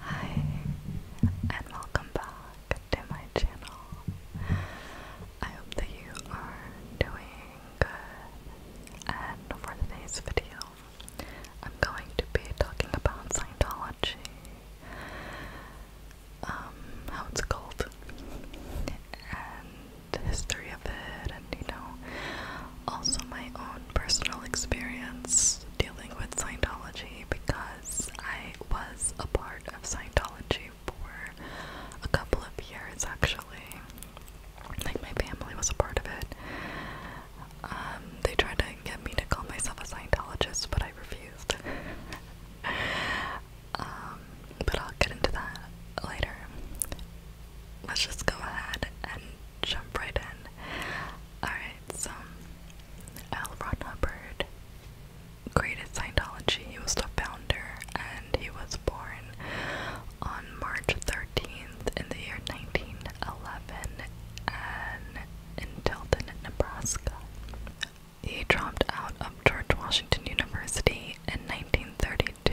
Hi, and welcome back to my channel. I hope that you are doing good. And for today's video, I'm going to be talking about Scientology, um, how it's called, and history of it, and you know, also my own personal experience dealing with Scientology because I was a part of Scientology for a couple of years actually. Like, my family was a part of it. Um, they tried to get me to call myself a Scientologist, but I refused. Um, but I'll get into that later. Let's just go ahead and jump right in. Alright, so L. Ron Hubbard created Scientology. He was the founder and he was born on March 13th in the year 1911 and in Tilton, Nebraska. He dropped out of George Washington University in 1932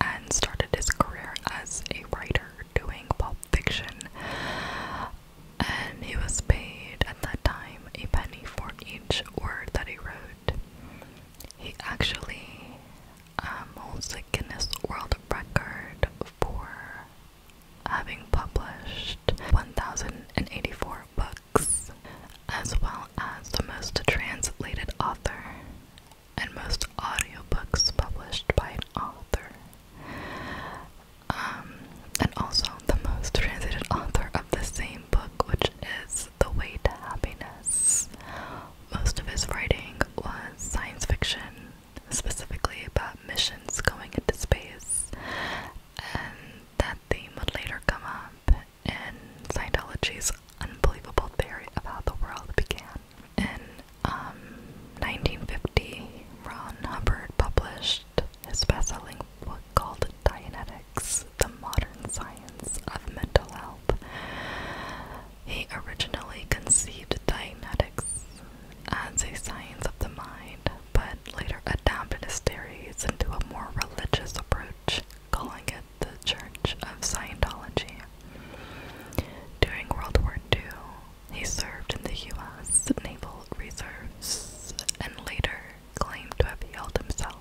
and started his career as a writer doing pulp fiction and he was paid at that time a penny for each word that he wrote. He actually um, holds the Guinness World Record for having published 1,084 books, as well as the most translated author and most audiobooks published by an author. Um, and also the most translated author of the same book, which is The Way to Happiness. Most of his writing was science fiction, specifically about missions going into space, and that theme would later come up in Scientology's unbelievable theory about how the world began. In 1950, um, Ron Hubbard published his best-selling book called Dianetics, The Modern Science of Mental Health. He originally conceived Dianetics as a science of the mind, but later adapted his theories into a more religious approach, calling it the Church of Scientology. During World War II, he served in the U.S. Naval Reserves and later claimed to have healed himself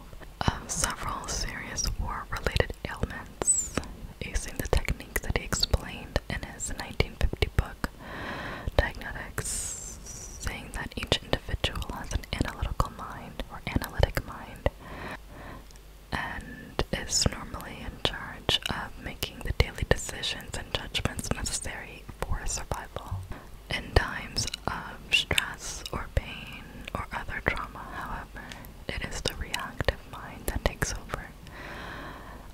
of several serious war related ailments using the technique that he explained in his 1950 book, Diagnostics, saying that each individual has an analytical mind or analytic mind and is normally charge of making the daily decisions and judgments necessary for survival. In times of stress or pain or other trauma, however, it is the reactive mind that takes over.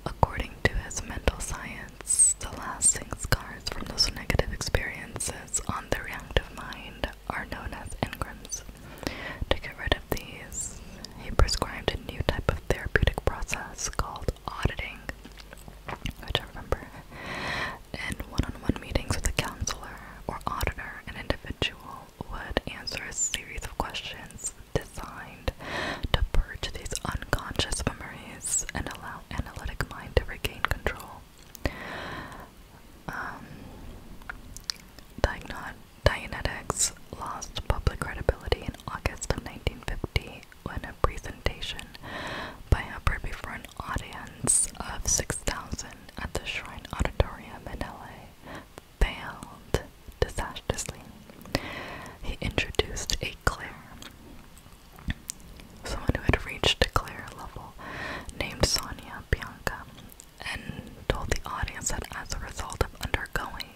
According to his mental science, the lasting scars from those negative experiences on the reactive mind are known as engrams. To get rid of these, he prescribed a new type of therapeutic process called auditing, which I remember, in one on one meetings with a counselor or auditor, an individual would answer a series of questions designed to purge these unconscious memories and allow analytic mind to regain control. Um, Diagnot Dianetics lost public credibility in August of 1950 when a presentation by Hubbard before an audience of 6,000 at the Shrine Auditorium in LA failed disastrously. He introduced a Claire, someone who had reached a Claire level, named Sonia Bianca, and told the audience that as a result of undergoing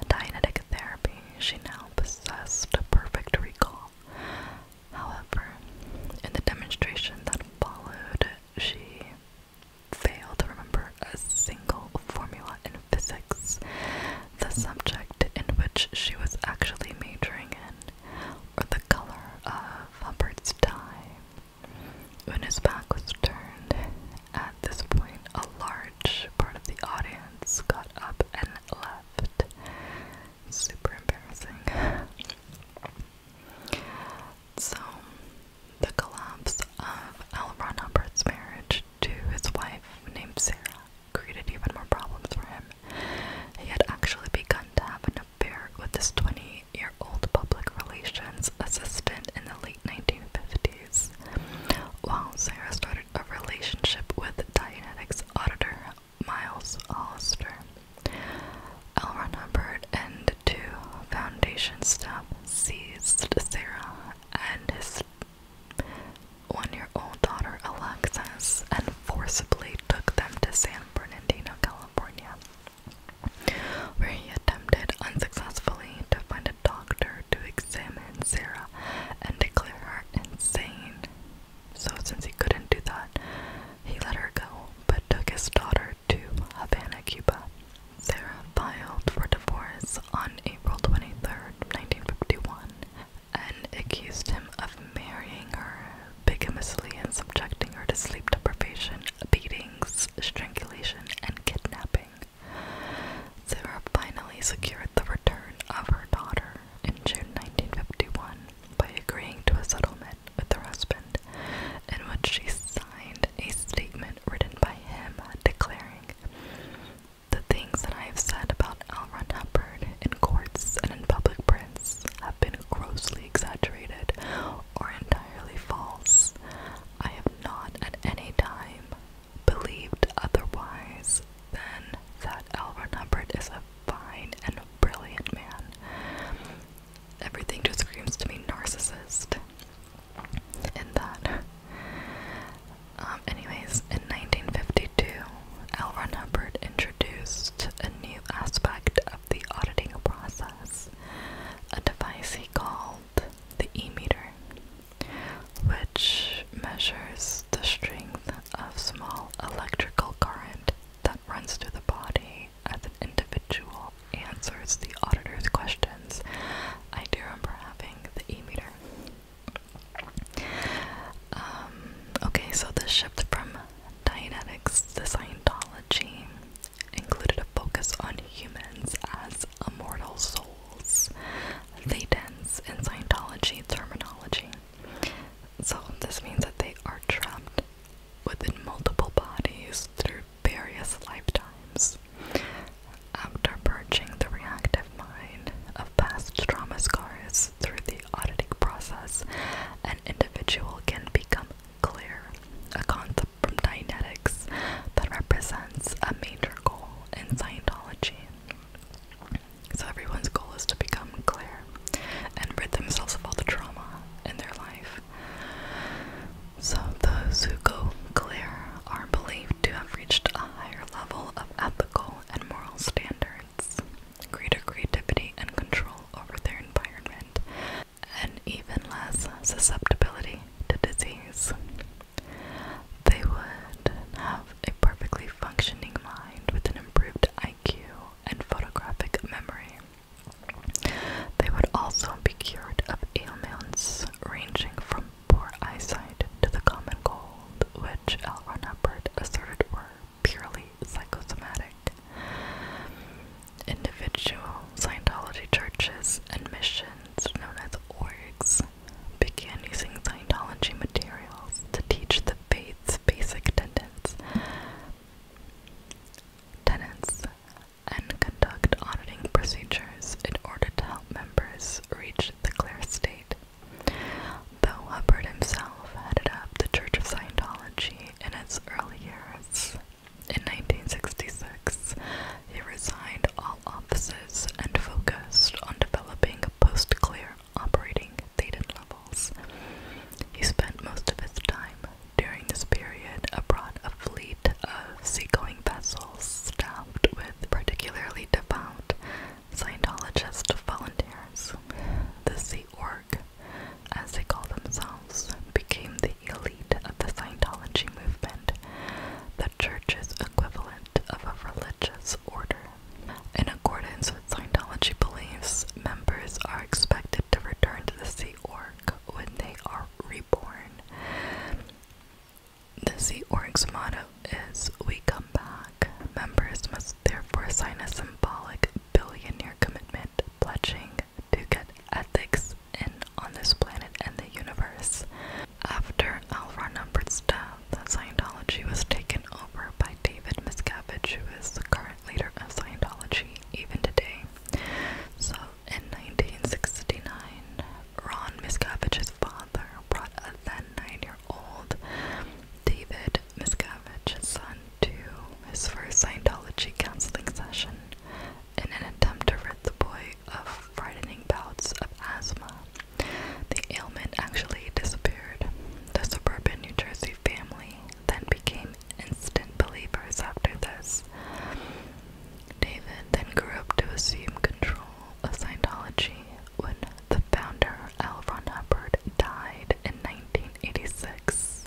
applying Dynetic therapy, she now possessed a perfect recall. However, in the demonstration that followed, she failed to remember a single formula in physics, the subject in which she was actually majoring in, or the color of Hubbard's tie When his back was turned, at this point, a large part of the audience got up and left. Super embarrassing. so, the collapse of L. Ron marriage to his wife named Sarah created even more problems for him. He had actually begun to have an affair with his 20 year old public relations assistant in the late 1950s. While Sarah started a relationship with Dianetics auditor Miles Hollister, Elron Hubbard and two Foundation staff seized Sarah and his one-year-old daughter Alexis and forcibly took them to San Bernardino, California, where he attempted unsuccessfully to find a doctor to Sam and Sarah and declare her insane. So, since he couldn't do that, he let her go but took his daughter to Havana, Cuba. Sarah filed for divorce on April 23, 1951, and accused him of marrying her bigamously and subjecting her to sleep deprivation, beatings, strangulation, and kidnapping. Sarah finally secured the return of her daughter in June 1951 by agreeing to a settlement with her husband, in which she signed a statement written by him declaring, The things that I have said about L. Ron in courts and in public prints have been grossly exaggerated or entirely false. I have not at any time believed otherwise than that Alvin Hubbard is a fine and brilliant man. Everything just screams to me narcissist in that. Um, anyways, in 1952, L. Ron Hubbard introduced a new aspect of the auditing process, a device he called the e-meter which measures the strength of small electrical current that runs through the body as an individual answers the auditor's questions. I do remember having the E meter. Um, okay, so the shift from Dianetics to Scientology included a focus on humans as a mortal soul they dance in Scientology terminology. So, this means that they are trapped within multiple bodies through various lifetimes. After purging the reactive mind of past trauma scars through the auditing process, an individual can become clear, a concept from dynamics that represents that's a major goal in Scientology. So everyone's goal is to become clear and rid themselves of all the trauma in their life. So those who go clear are believed to have reached a higher level of ethical and moral standards, greater creativity and control over their environment, and even less susceptibility to disease. They would have a perfectly functioning mind with an improved IQ and photographic memory. They would also be cured of ailments ranging from poor eyesight to the common cold, which L. Ron Hubbard asserted were purely psychosomatic. Individual Scientology churches and missions known as orgs began using Scientology materials to teach the faith's basic tenets, tenets and conduct auditing procedures in order to help members reach the clear state. Though Hubbard himself headed up the Church of Scientology in its early years, in 1966, he resigned all offices and focused on developing post-clear operating data levels. He spent most of his time during this period abroad, a fleet of seagoing vessels staffed with particularly devout Scientologist volunteers. The Sea Org, as they call themselves, became the elite of the Scientology movement the church's equivalent of a religious order. In accordance with Scientology beliefs, members are expected to return to the Sea Org when they are reborn. The Sea Org's motto is We Come Back. Members must therefore sign a symbolic billionaire commitment pledging to get ethics in on this planet and the universe. After Alvar Numbert's death, Scientology was taken over by David Miscavige, who is the current leader of Scientology even today. So in 1969, Ron Miscavige's father brought a then nine-year-old David Miscavige's son to his first Scientology counseling session in an attempt to rid the boy of frightening bouts of asthma. The ailment actually disappeared. The suburban New Jersey family then became instant believers after this. David then grew up to assume control of Scientology when the founder L. Ron Hubbard died in 1986.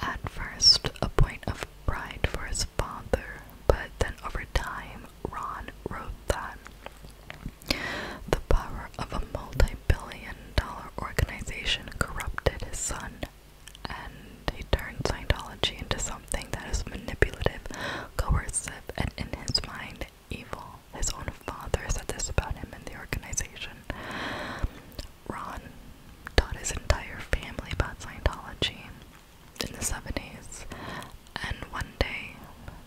At first, a point of pride for his father, but then over time, Ron wrote that the power of a multi billion dollar organization corrupted his son, and he turned Scientology into something that is manipulative, coercive, and in his mind, evil. His own father said this about him and the organization. Ron taught his entire family about Scientology in the 70s, and one day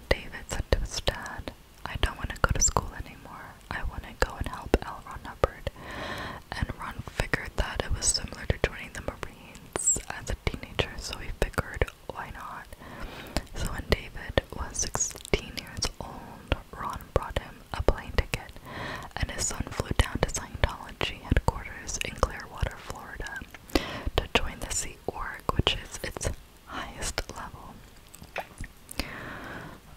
David said to his dad, I don't want to go to school anymore. I want to go and help El Ron Hubbard. And Ron figured that it was similar to joining the Marines as a teenager, so he figured, why not? So when David was 16 years old, Ron brought him a plane ticket, and his son flew down to Scientology headquarters in Clearwater, Florida to join the Sea Org, which is its highest level.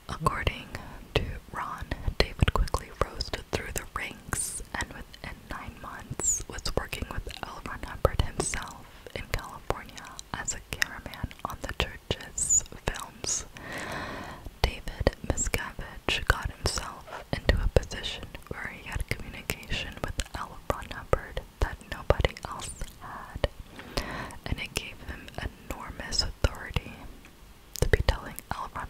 According to Ron, David quickly rose through the ranks and within nine months was working with L. Ron himself in California as a cameraman on the church's films. David Miscavige got himself into a position where he had communication with L. Ron that nobody else had, and it gave him enormous authority to be telling L. Ron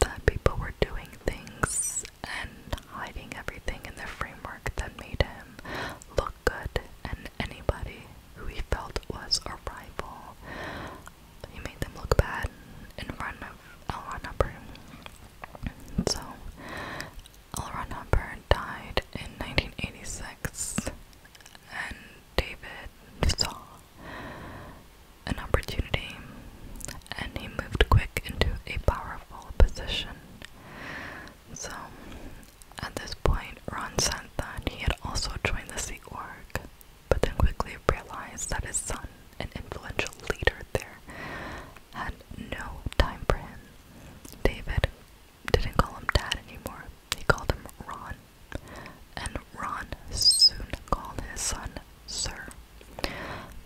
that people were doing things and hiding everything in the framework that made him look good, and anybody who he felt was a rival he made them look bad in front of L. Ron Hubbard. So, L. Ron died in 1986, and David saw an opportunity and he moved quick into a powerful position. So, at this point, Ron said that he had also joined the Sea Org, but then quickly realized that his son an influential leader there, had no time for him. David didn't call him Dad anymore, he called him Ron. And Ron soon called his son Sir.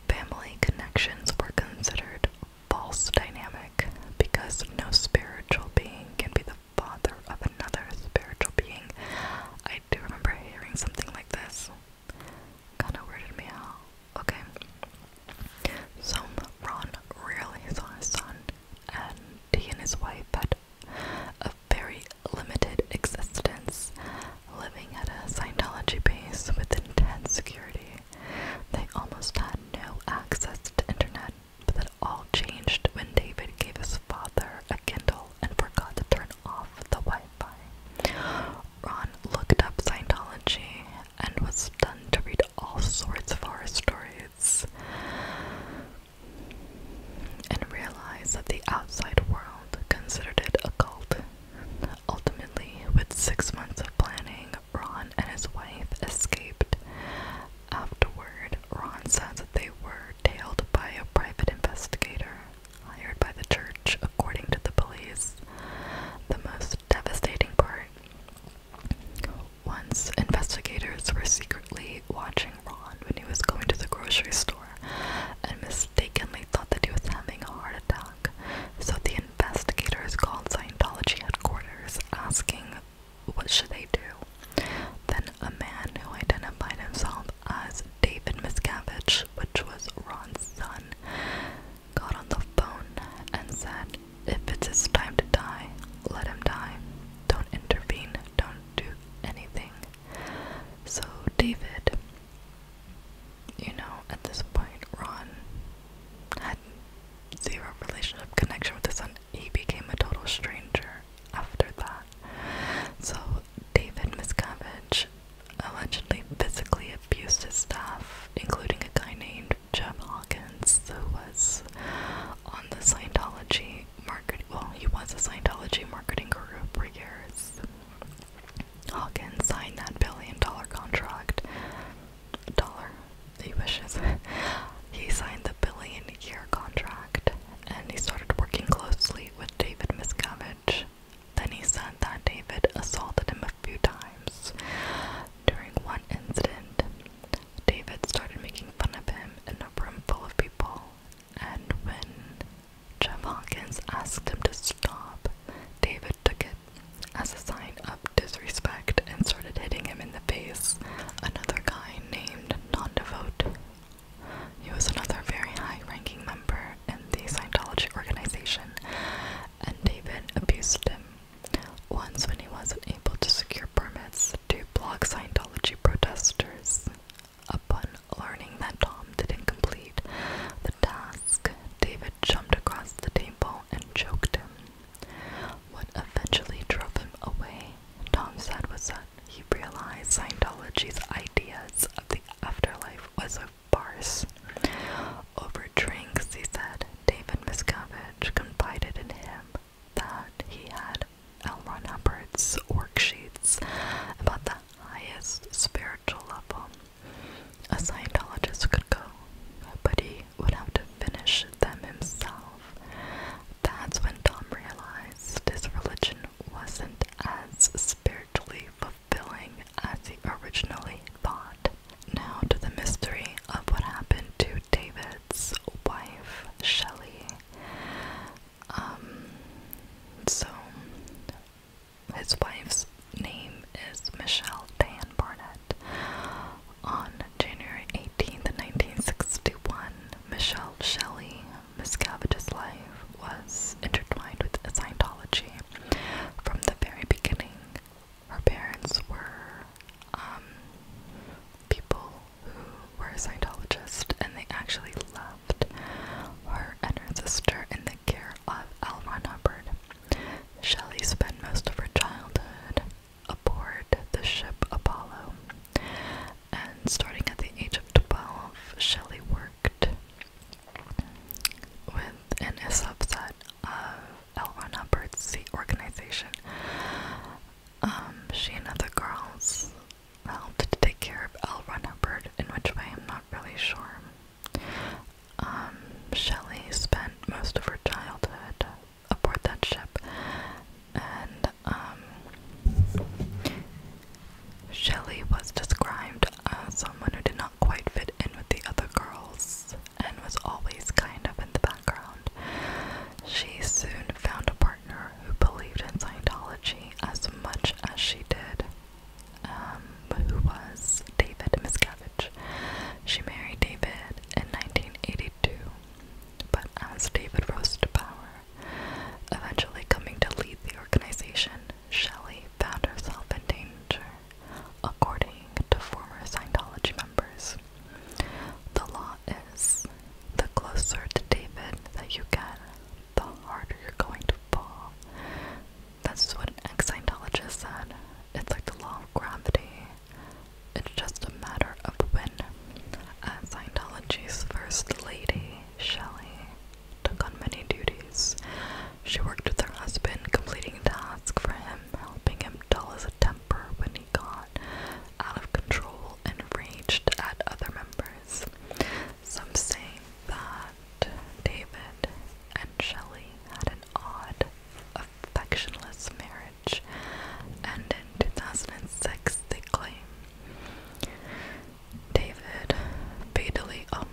Family connections were considered false dynamic because no spiritual being can be the father of another spiritual being. I do remember hearing something like this. Kinda weirded me out. Okay. So Ron really saw his son, and he and his wife had a very limited existence, living at a Scientology base with intense security. They almost had no access to internet, but that all changed when David gave his father a Kindle and forgot to turn off the Wi Fi. Ron looked up Scientology and was stunned to read all sorts of horror stories and realized that the outside world considered it a cult. Ultimately, with six months of planning, Ron and his wife escaped. Afterward, Ron says that they were tailed by a private investigator hired by the church, according to the police. The most devastating part once investigators were secretly watching Ron when he was going to the grocery store and mistakenly thought that he was having a heart attack. So the investigators called Scientology headquarters asking what should they do. Then a man who identified himself as David Miscavige, which was Ron's son, got on the phone and said, If it's his time to die, let him die. Don't intervene, don't do anything. So, David, you know, at this point, Ron had zero relationship connection with his son. He became a total stranger after that. So, David Miscavige allegedly physically abused his staff, including a guy named Jeb Hawkins, who was on the Scientology market. Well, he was a Scientology marketing guru for years. Hawkins signed that billion-dollar contract. Dollar, he wishes. he signed the billion-year contract, and he started working closely with David Miscavige then he said that David assaulted him a few times. During one incident, David started making fun of him in a room full of people, and when Jeff Hawkins asked him to stop, David took it as a sign of disrespect and started hitting him in the face. Another guy named Non Devote he was another very high ranking member in the Scientology organization, and David abused him. Once, when he wasn't able to secure permits to block Scientology protesters, upon learning that Tom didn't complete the task, David jumped across the table and choked him. What eventually drove him away, Tom said, was that he realized Scientology's ideas of the afterlife was a bars. Over drinks, he said, David Miscavige confided in him that he had L. Ron Hubbard's worksheets about the highest spiritual level a Scientologist could go, but he would have to finish them himself. That's when Tom realized his religion wasn't as spiritual largely fulfilling as he originally thought. Now to the mystery of what happened to David's wife, Shelley. Um, so, his wife's name is Michelle Dan Barnett. On January eighteenth, 1961, Michelle Shelley Miscavige's life was intertwined with Scientology from the very beginning. Her parents were um, people who were Scientologists, and they actually left her and her sister in the care of L. Ron Hubbard. Shelley spent most of her childhood aboard the ship Apollo, and starting at the age of 12, Shelley worked with an a subset of Elron Uppert's organization. Um, she and other girls helped to take care of L. Ron in which way I'm not really sure. Um, Shelley spent most of her childhood aboard that ship, and um, Shelley was described as someone who did not quite fit in with the other girls and was always kind of in the background. She soon found a partner who believed in Scientology as much as she did, um, who was David Miscavige. She married David in 1982, but as David rose to power, eventually coming to lead the organization, Shelley found herself in danger, according to former Scientology members. The law is the closer to David that you get, the harder you're going to fall. That's what an ex Scientologist said. It's like the law of gravity, it's just a matter of when. As Scientology's first lady, Shelley took on many duties. She worked with her husband, completing tasks for him, helping him dull his temper when he got out of control and raged at other members. Some say that David and Shelley had an odd, affectionless marriage, and in 2006 they claim David fatally, um,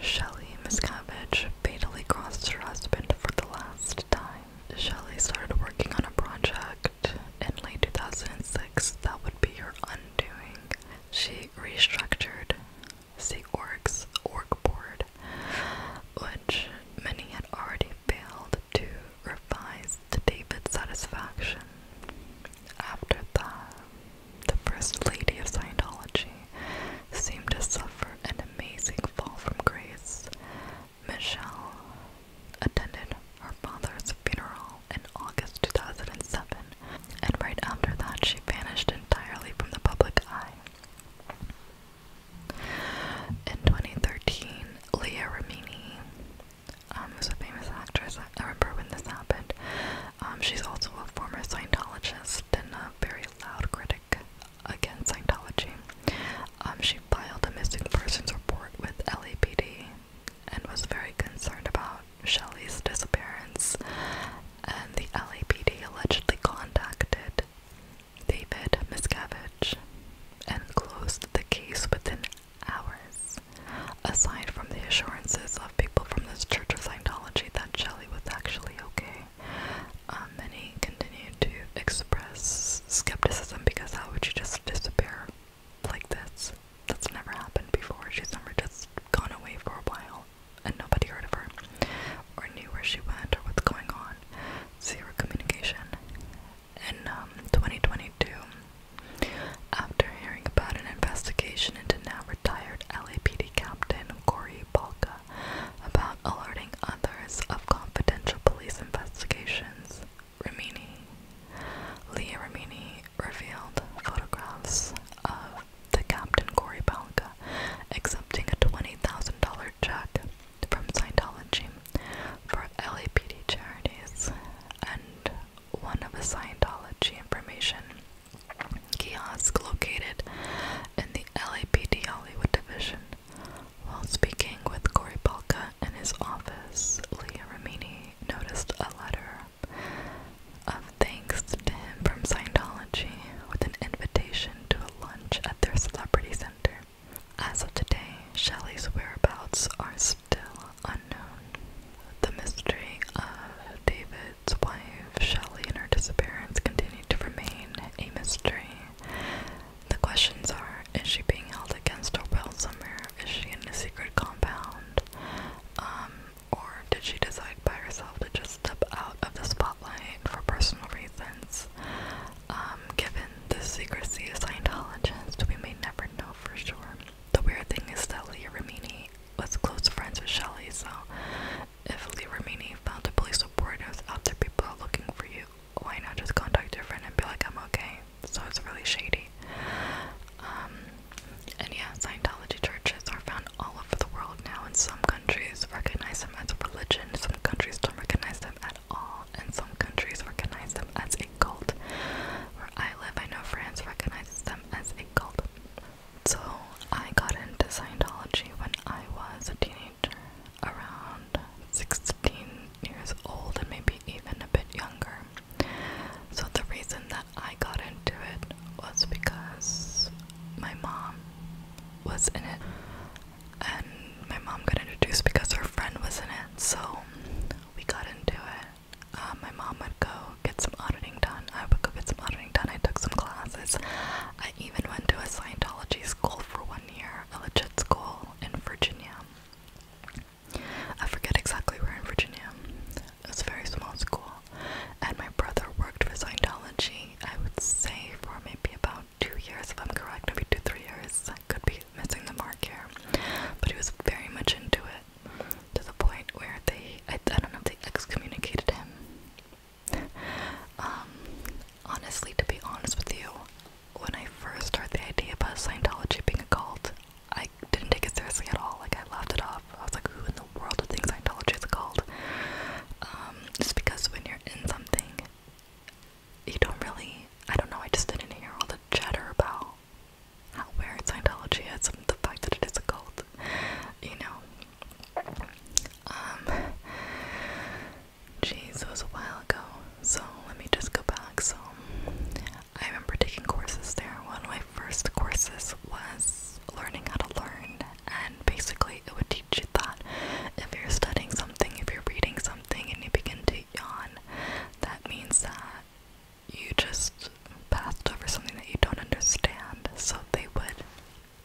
Shelley Miscavige fatally crossed her husband for the last time. Shelley started working on a project in late 2006 that would be her undoing. She restructured Sea Org's org board, which many had already failed to revise to David's satisfaction. After the First Lady of Scientology, seemed to suffer an amazing fall from grace. Michelle attended her father's funeral in August 2007, and right after that, she vanished entirely from the public eye. In 2013, Leah Remini, um, a famous actress. I remember when this happened. Um, she's also a former Scientologist and a very loud critic against Scientology. Um, she filed a missing persons report with LAPD and was very concerned about Shelley's disappearance. And the LAPD allegedly contacted David Miscavige and closed the case within hours. Aside from the assurances of people from this Church of Scientology that Shelley was actually okay, um, many continued to express skepticism because how would she just disappear like this? That's never happened before. She's never just gone away for a while and nobody heard of her or knew where she went or what's going on. Zero communication. In um, 2022, after hearing about an investigation into now retired LAPD Captain Corey Balka about alerting others of confidential police investigations, Ramini, Leah Rimini revealed photographs of the Captain Corey Balka accepting a $20,000 check from Scientology for LAPD charities and one of a Scientology information kiosk located in the LAPD Hollywood division. While speaking with Cory Balka in his office, Leah Ramini noticed a letter of thanks to him from Scientology with an invitation to a lunch at their celebrity center. As of today, Shelley's whereabouts are still unknown. The mystery of David's wife, Shelley, and her disappearance continue to remain a mystery. The questions are is she being held against her will somewhere? Is she in a secret compound? Um, or did she decide by herself to just step out of the spotlight for personal reasons? Um, given the secrecy of Scientologists, we may never know for sure the weird thing is that Leah Remini was close friends with Shelley, so if Leah Remini found a police report and was out people are looking for you, why not just contact your friend and be like, I'm okay? So it's really shady. Um, and yeah, Scientology churches are found all over the world now, and some countries recognize them as a religion, some countries don't recognize them at all, and some countries recognize them as a cult. Where I live, I know France recognizes them as called. So I got into Scientology when I was a teenager, around 16 years old and maybe even a bit younger. So the reason that I got into it was because my mom was in it and my mom got introduced because her friend was in it so we got into it uh, my mom would go get some auditing done. I would go get some auditing done. I took some classes. I even went to a Scientology school for one year, a legit school in Virginia. I forget exactly where in Virginia. It was a very small school. And my brother worked for Scientology, I would say, for maybe about two years, if I'm correct, maybe two, three years. I could be missing the mark here. But he was very much into it to the point where they, I, don't know they excommunicated him. um, honestly, to be honest with you, when I first heard the idea about Scientology being a cult, I didn't take it seriously at all. Like, I laughed it off. I was like, who in the world would think Scientology is a cult? Um, just because when you're in something, you don't really, I don't know, I just didn't hear all the chatter about how weird Scientology is and the fact that it is a cult, you know. Um, jeez, it was a while ago, so let me just go back. So, I remember taking courses there. One of my first courses was learning how to learn, and basically, it would teach you that if you're studying something, if you're reading something, and you begin to yawn, that means that you just passed over something that you don't understand. So they would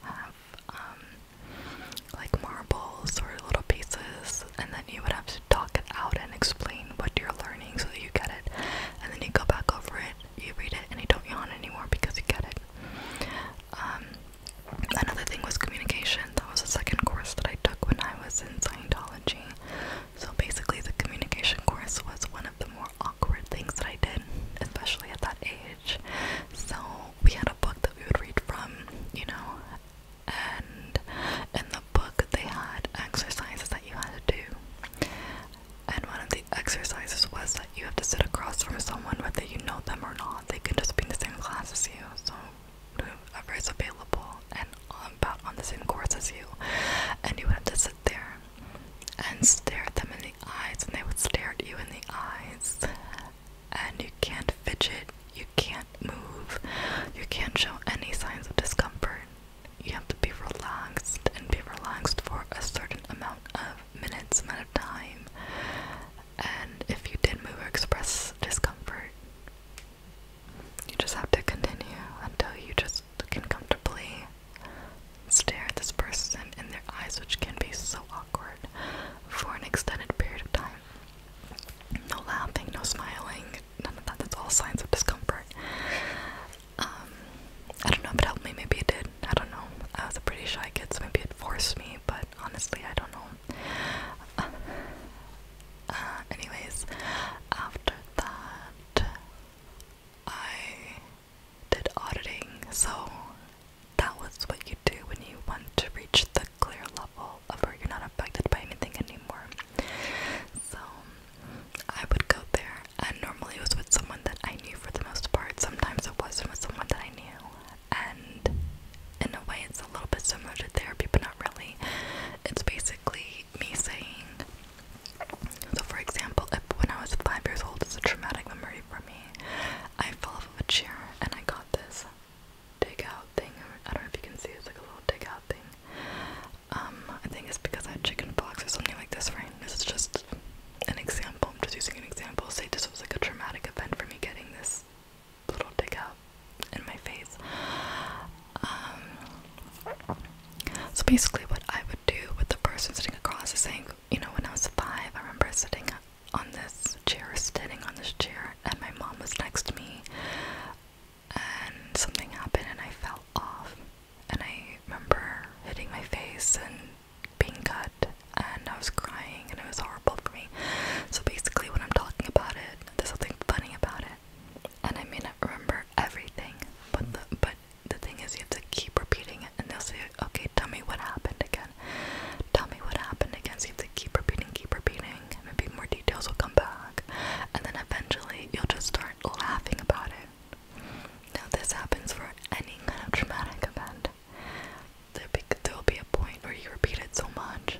have um, like marbles or little pieces, and then you would have to talk it out and explain what you're learning so that you get it. And then you go back over it, you read it, and you don't yawn anymore because you get it. Um, another thing was communication. That was the second course that I took when I was in Scientology. So basically, the communication course was one of the more awkward things that I did, especially at that age. So we had a book that we would read from, you know, and in the book they had exercises that you had to do. And one of the exercises was that you have to sit across from someone, whether you know them or not. They can just be in the same class as you, so whoever is available and about on the same course as you. And you would have to there and stare at them in the eyes, and they would stare at you in the eyes. And you can't fidget, you can't move, you can't show any signs of discomfort. You have to be relaxed and be relaxed for a certain amount of minutes, amount of time. And if you did move or express discomfort, you just have to continue until you just can comfortably stare at this person in their eyes, which can be so awkward for an extended period of time. No laughing, no smiling, none of that. That's all signs of discomfort. Um, I don't know if it helped me, maybe it did. I don't know. I was a pretty shy kid, so maybe it forced me, but honestly, I don't know. Uh, anyways, after that, I did auditing, so that was what you do when you want to reach the clear level of where you're not affected by anything anymore. So I would go there, and normally it was with someone that I knew for the most part. Sometimes it was with someone that I knew, and in a way, it's a little bit similar to therapy, but not really. It's basically me saying, so, for example, if when I was five years old, it's a traumatic memory for me. I fell off of a chair and I got this dig out thing. I don't know if you can see it's like a little dig out thing. Um, I think it's because I had chicken pox or something like this, right? This is just an example. I'm just using an example. Say this was like a traumatic event for me getting this little dig out in my face. Um, so basically, what I would do with the person sitting across is saying, you know, when I was five, I remember sitting on this chair, sitting on this chair, and my mom was next to me, and something happened, and I fell off, and I remember hitting my face and being cut, and I was crying, and it was horrible for me. So basically, when I'm talking about it, there's something funny about it and I may not remember everything, but the but the thing is, you have to keep repeating it, and they'll say, "Okay, tell me what happened again. Tell me what happened again." So you have to keep repeating, keep repeating. Maybe more details will come back, and then eventually you'll just start laughing about it. Now this happens for any kind of traumatic event. There be, there'll be a point where you repeat it so much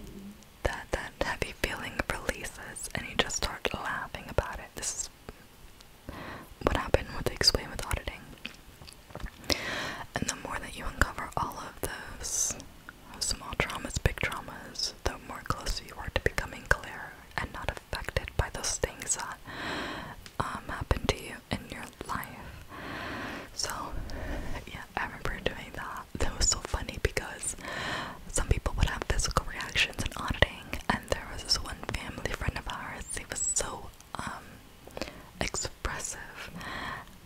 that that heavy feeling releases, and you just start laughing about it. This is what happened with explain with auditing. And the more that you uncover all of those small traumas, big traumas, the more closer you are to becoming clear and not affected by those things that um, happen to you in your life. So, yeah, I remember doing that. That was so funny because some people would have physical reactions and auditing and there was this one family friend of ours he was so um, expressive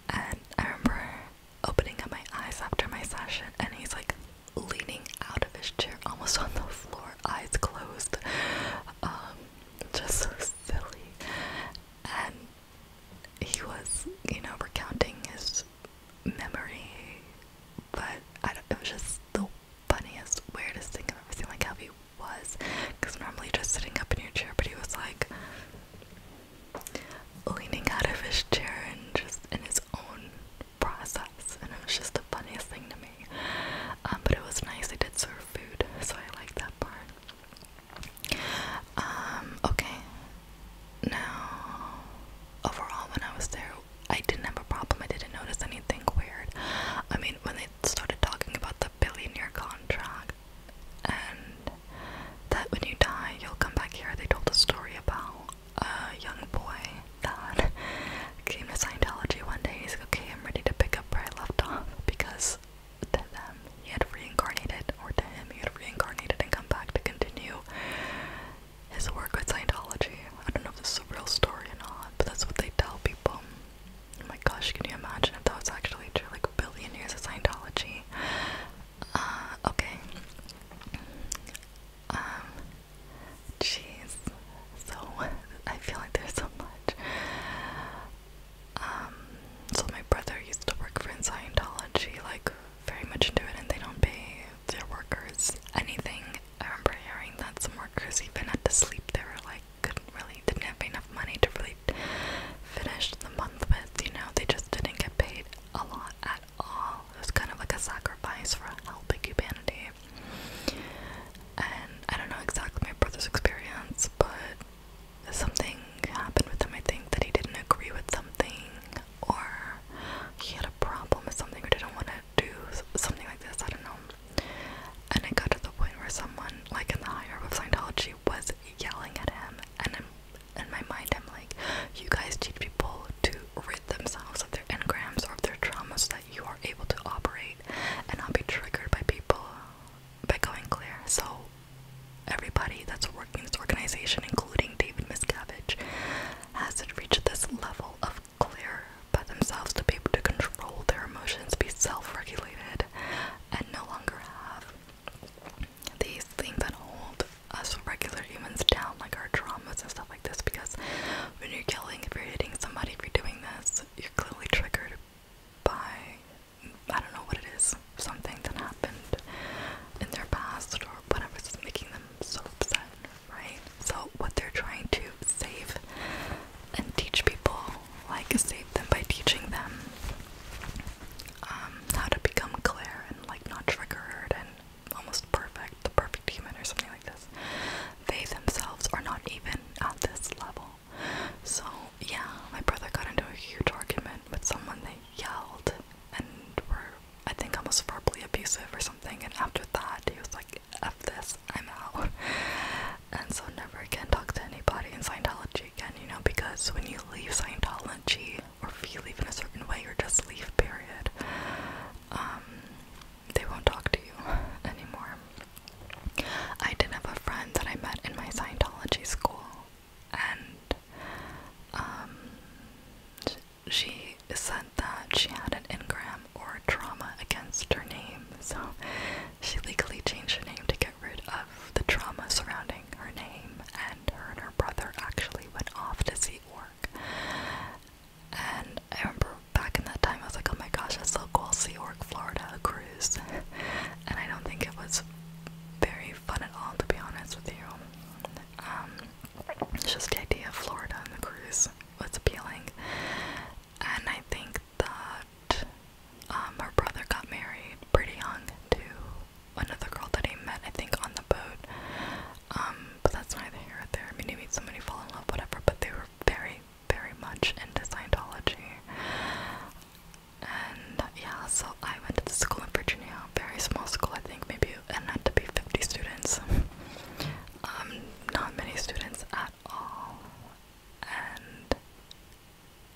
and I remember opening up my eyes after my session and he's like leaning out of his chair almost on the floor eyes closed um, just so silly and he was you know recounting his memory, but I don't, it was just the funniest, weirdest thing I've ever seen. Like how he was, because normally just sitting up in your chair, but he was like leaning out of his chair and just in his own process, and it was just the funniest thing to me. Um, but it was nice. They did serve food, so I like that part. Um, okay, now overall when I was there I didn't have a problem. I didn't notice anything weird. I mean when they started talking about the billion-year contract and that when you die you'll come back here, they told a story about a young boy that came to Scientology one day. He's like, okay, I'm ready to pick up where I left off because to them he had reincarnated, or to him he had reincarnated and come back to continue his work with Scientology. I don't know if this is a real story or not, but that's what they tell people. Oh my gosh, can you imagine if that was actually true? Like billionaires of Scientology. Uh, okay. Um, jeez. So, I feel like there's so much. Um, so my brother used to work for Scientology, like very much into it, and they don't pay their workers anything I remember hearing that some workers, even at the sleep, they were like, couldn't really, didn't have enough money to really finish the month with, you know, they just didn't get paid a lot at all. It was kind of like a sacrifice for helping humanity. And I don't know exactly my brother's experience, but something happened with him. I think that he didn't agree with something, or he had a problem with something, or didn't want to do something like this, I don't know. And it got to the point where someone, like in the higher up of Scientology, was yelling at him. And I'm, in my mind, I'm like, you guys teach people to rid themselves of their engrams or of their traumas that you are able to operate and not be triggered by people by going clear. So, everybody that's working in this organization, including David Miscavige, hasn't reached this level of clear by themselves to be able to control their emotions, be self regulated, and no longer have these things that hold us regular humans down, like our traumas and stuff like this. Because when you're killing, if you're hitting somebody, if you're doing this, you're clearly triggered by I don't know what it is, something that happened in their past or whatever is making them so upset right? So, what they're trying to save and teach people, like, save them by teaching them um, how to become clear and, like, not triggered and almost perfect, the perfect human, or something like this. They themselves are not even at this level. So, yeah, my brother got into a huge argument with someone. They yelled and were I think I was verbally abusive or something, and after that he was like, F this, I'm out. And so never again talk to anybody in Scientology again, you know, because when you leave Scientology or if you leave in a certain way or just leave period, um they won't talk to you anymore. I did have a friend that I met in my Scientology school and um she said that she had an engram or trauma against her name, so she legally changed her name to get rid of the trauma surrounding her name. And her and her brother actually went off to Sea Orc. And I remember back in that time, I was like, oh my gosh, that's so cool, Sea Orc, Florida, a cruise. and I don't think it was very fun at all, to be honest with you. Um, it's just the idea of Florida and the cruise was appealing. And I think that um, her brother got married pretty young to another girl that he met, I think, on the boat. Um, but that's neither here or there. I mean, he made somebody fall in love, whatever, but they were very, very much into Scientology. And yeah, so I went to the school in Virginia, very small school, I think maybe, and had to be 50 students um, not many students at all, and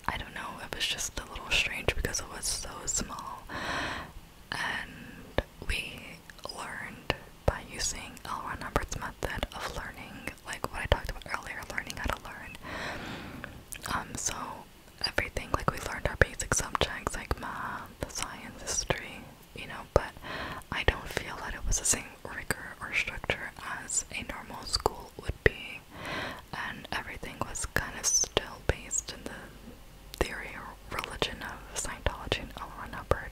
I don't know, it was just a little strange because it was so small, and we learned by using L. Ron method of learning, like what I talked about earlier, learning how to learn. Um, so everything, like we learned our basic subjects like math, science, history, you know, but I don't feel that it was the same rigor or structure as a normal school would be, and everything was kind of still based in the theory or religion of Scientology and Hubbard.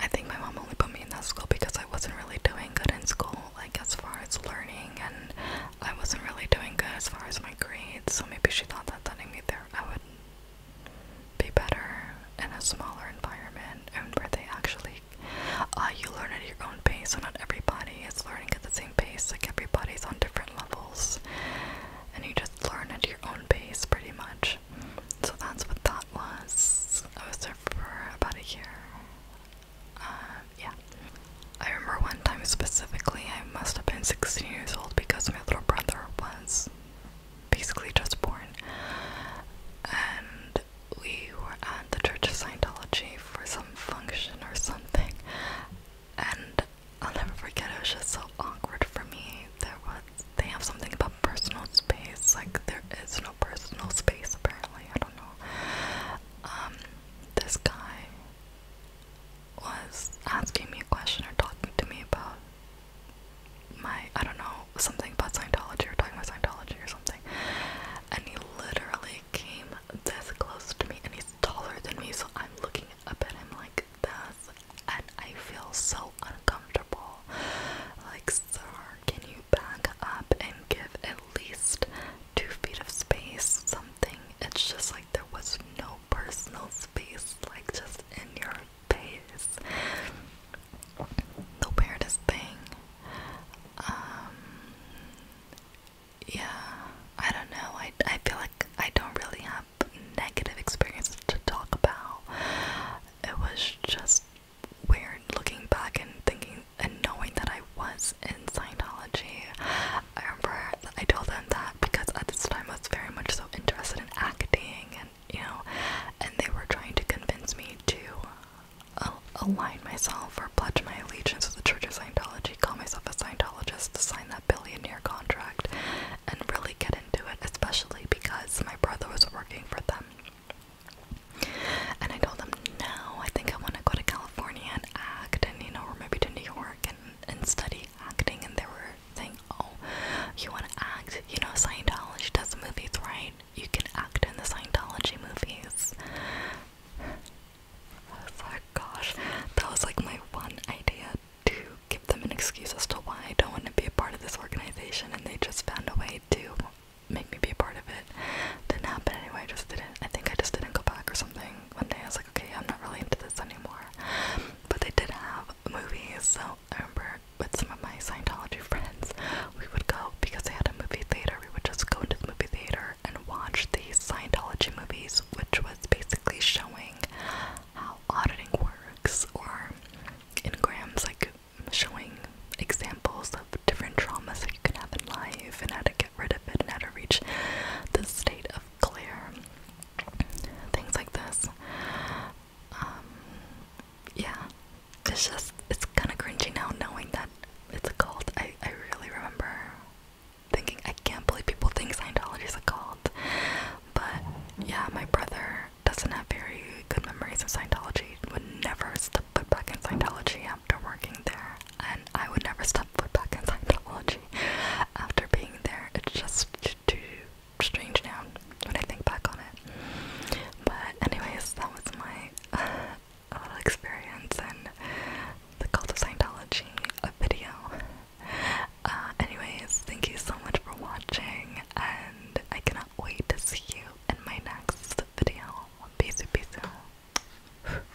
I think my mom only put me in that school because I wasn't really doing good in school, like as far as learning and I wasn't really doing good as far as my grades, so maybe she thought that sending me there I would be better in a smaller environment where they actually uh, you learn at your own pace, so not everybody is learning at the same pace. Like everybody's on different levels, and you just learn at your own pace, pretty much. So that's what that was. I was there for about a year. Um, yeah. I remember one time specifically, I must have been 16 years old because my little brother was basically just born. And we were at the Church of Scientology for some function or something. And I'll never forget, it was just so awkward for me. There was, they have something about personal space, like there is no personal space apparently, I don't know. Um, this guy was asking me a question or talking to me about my, I don't know, something about Scientology or talking about Scientology or something. And he literally came this close to me and he's taller than me, so I'm looking up at him like this and I feel so uncomfortable. Like, sir, can you back up and give at least two feet of space? Some something, it's just like there was no personal space, like just in your face. The weirdest thing. yeah, I don't know. I, I feel like I don't really have negative experiences to talk about. It was just weird looking back and thinking and knowing that I was was in Scientology. I remember I told them that because at this time I was very much so interested in acting and you know, and they were trying to convince me to uh, align myself or pledge my allegiance to the Church of Scientology, call myself a Scientologist, to sign that billionaire contract, and really get into it, especially because my brother was working for them. And I told them, no, I think I want to go to California and act, and you know, or maybe to New York and, study acting, and they were saying, Oh, you want to act? You know, Scientology does the movies, right? You can act in the Scientology movies. I was Gosh, that was like my one idea to give them an excuse as to why I don't want to be a part of this organization, and they just found a way to make me be a part of it. Didn't happen anyway, I just didn't. I think I just didn't go back or something one day I was like, okay, I'm not really into this anymore. But they did have movies, so I remember with some of my Scientology friends, we would go because they had a movie theater. We would just go into the movie theater and watch these Scientology movies, which was basically showing how auditing works, or in Graham's like showing examples of different traumas that you can have in life and how to rid of it and how to reach the state of clear. Things like this. Um, yeah, it's just, it's kind of cringy now knowing that it's a cult. I, I really remember thinking, I can't believe people think Scientology is a cult. But yeah, my brother doesn't have very good memories of Scientology, would never step foot back in Scientology, after working there, and I would never step foot back in Scientology after being there. It's just too strange now when I think back on it. But anyways, that was my uh, little experience in the cult of Scientology a video. Uh, anyways, thank you so much for watching, and I cannot wait to see you in my next video. Peace, peace. out.